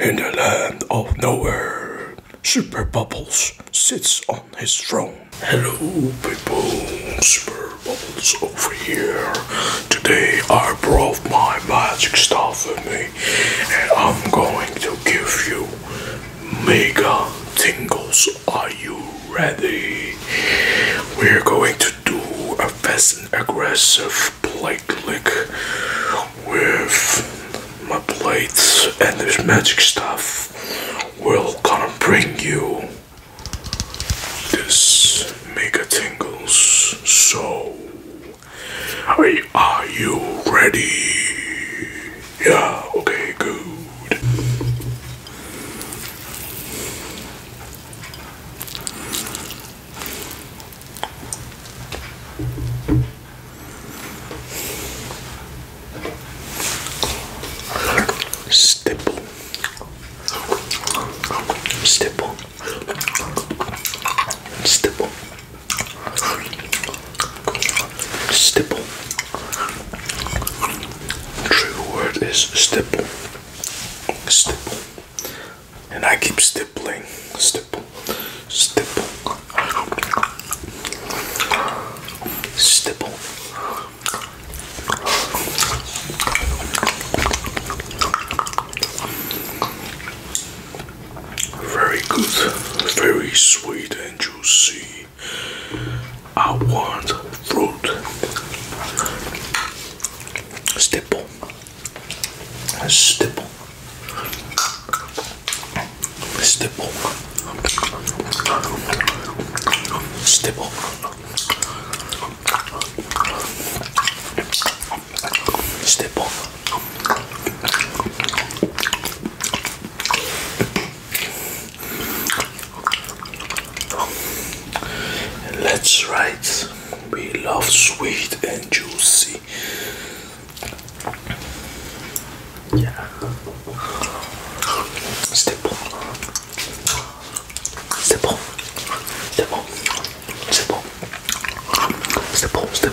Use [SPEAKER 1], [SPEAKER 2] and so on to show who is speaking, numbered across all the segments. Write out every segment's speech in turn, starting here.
[SPEAKER 1] In the land of nowhere, Super Bubbles sits on his throne. Hello, people. Super Bubbles over here. Today I brought my magic stuff with me, and I'm going to give you mega tingles. Are you ready? We're going to do a fast and aggressive plate lick with my plates and this magic stuff we will gonna bring you this mega tingles. So are you ready? Yeah, okay, good. Stipple. Stipple. Stipple. Stipple. True word is stipple. Stipple and I keep stippling, stipple, stipple, stipple. Very good, very sweet and juicy. I want fruit. Stipple. A stipple. Stipple. Stipple. Stipple. Let's write we love sweet and juicy. Yeah. C'est bon. C'est bon. C'est bon. C'est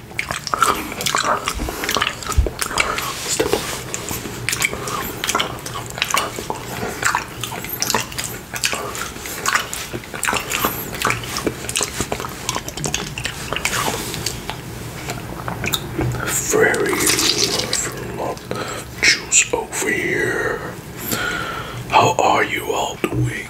[SPEAKER 1] Very love, love juice over here. How are you all doing?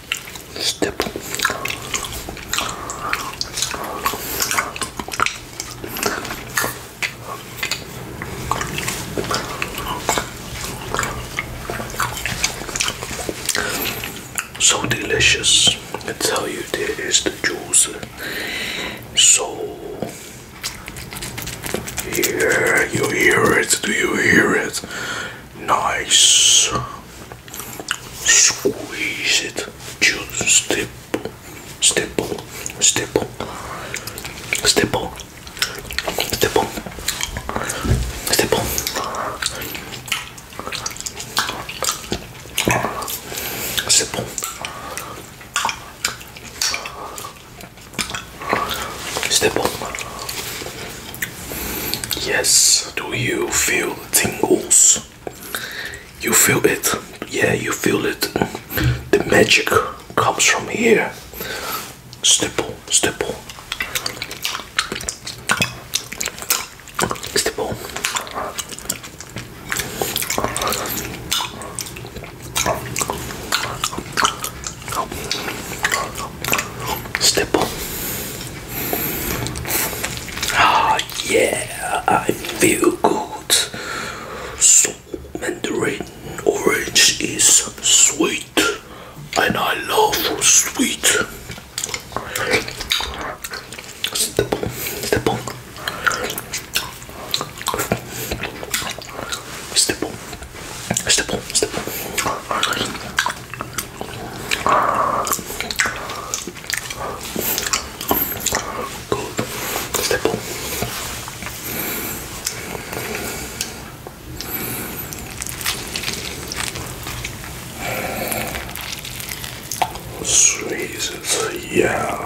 [SPEAKER 1] Stipple. So delicious. I tell you, there is the juice. So yeah, you hear it. Do you hear it? Nice. Squeeze it. Just step, step, step, step, step, step. Step. bon. Step. bon. Yes, do you feel tingles? You feel it? Yeah, you feel it. The magic comes from here. Stipple, stipple. Stipple. Stipple. Ah, yeah, I feel good. So, Mandarin orange is sweet, and I love sweet. Stipple, stipple, stipple, stipple, stipple. Good. Cool. Jesus, yeah.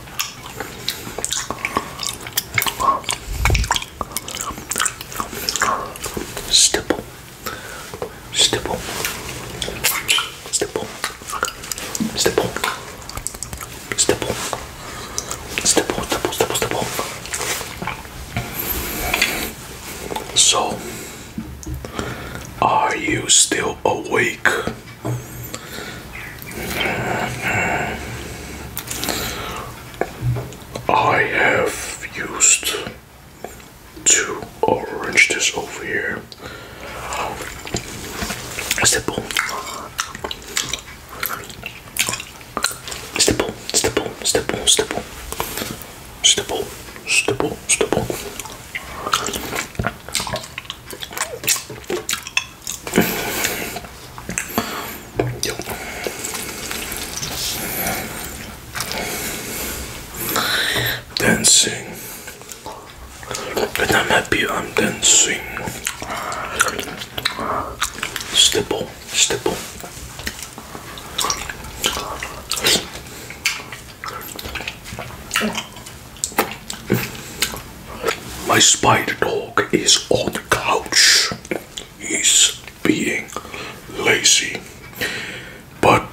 [SPEAKER 1] Stipple. Stipple. Stipple. Stipple. Stipple. Stipple. Stipple. Stipple. Stipple. So, are you still awake? I have used two this over here. Stipple. Stipple, stipple, stipple, stipple. Stipple, stipple, stipple. Dancing. When I'm happy, I'm dancing. Stipple, stipple. My spider dog is on the couch. He's being lazy. But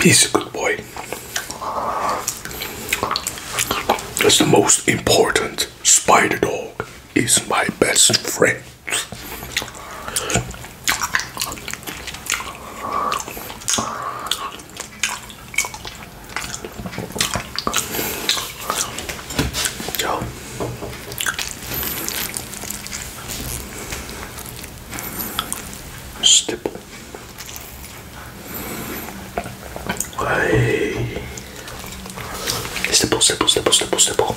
[SPEAKER 1] he's a good boy. That's the most important. Spider dog is my best friend. Yo. Stipple. Hey. Stipple, stipple, stipple, stipple, stipple.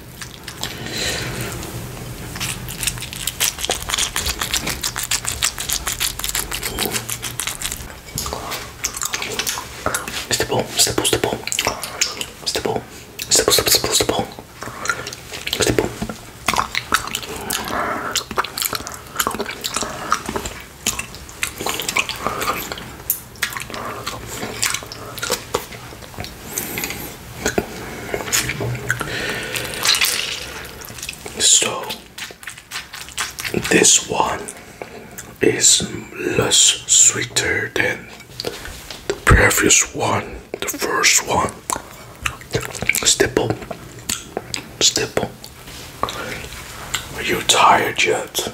[SPEAKER 1] Step ball, step ball, step ball. Step ball, step ball, step ball, step ball. Step ball. So this one is less sweeter than the previous one, the first one. Stipple, stipple. Are you tired yet?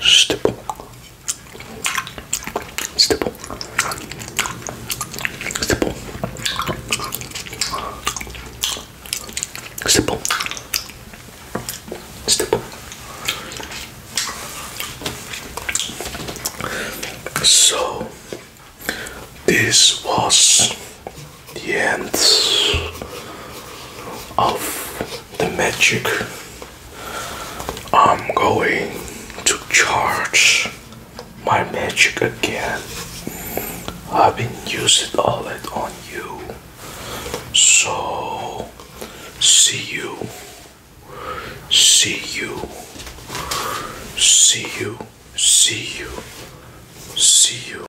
[SPEAKER 1] Stipple. Stipple. Stipple. Stipple. Stipple. So, this was the ends of the magic. I'm going to charge my magic again. I've been using all it on you. So, see you, see you, see you, see you, see you.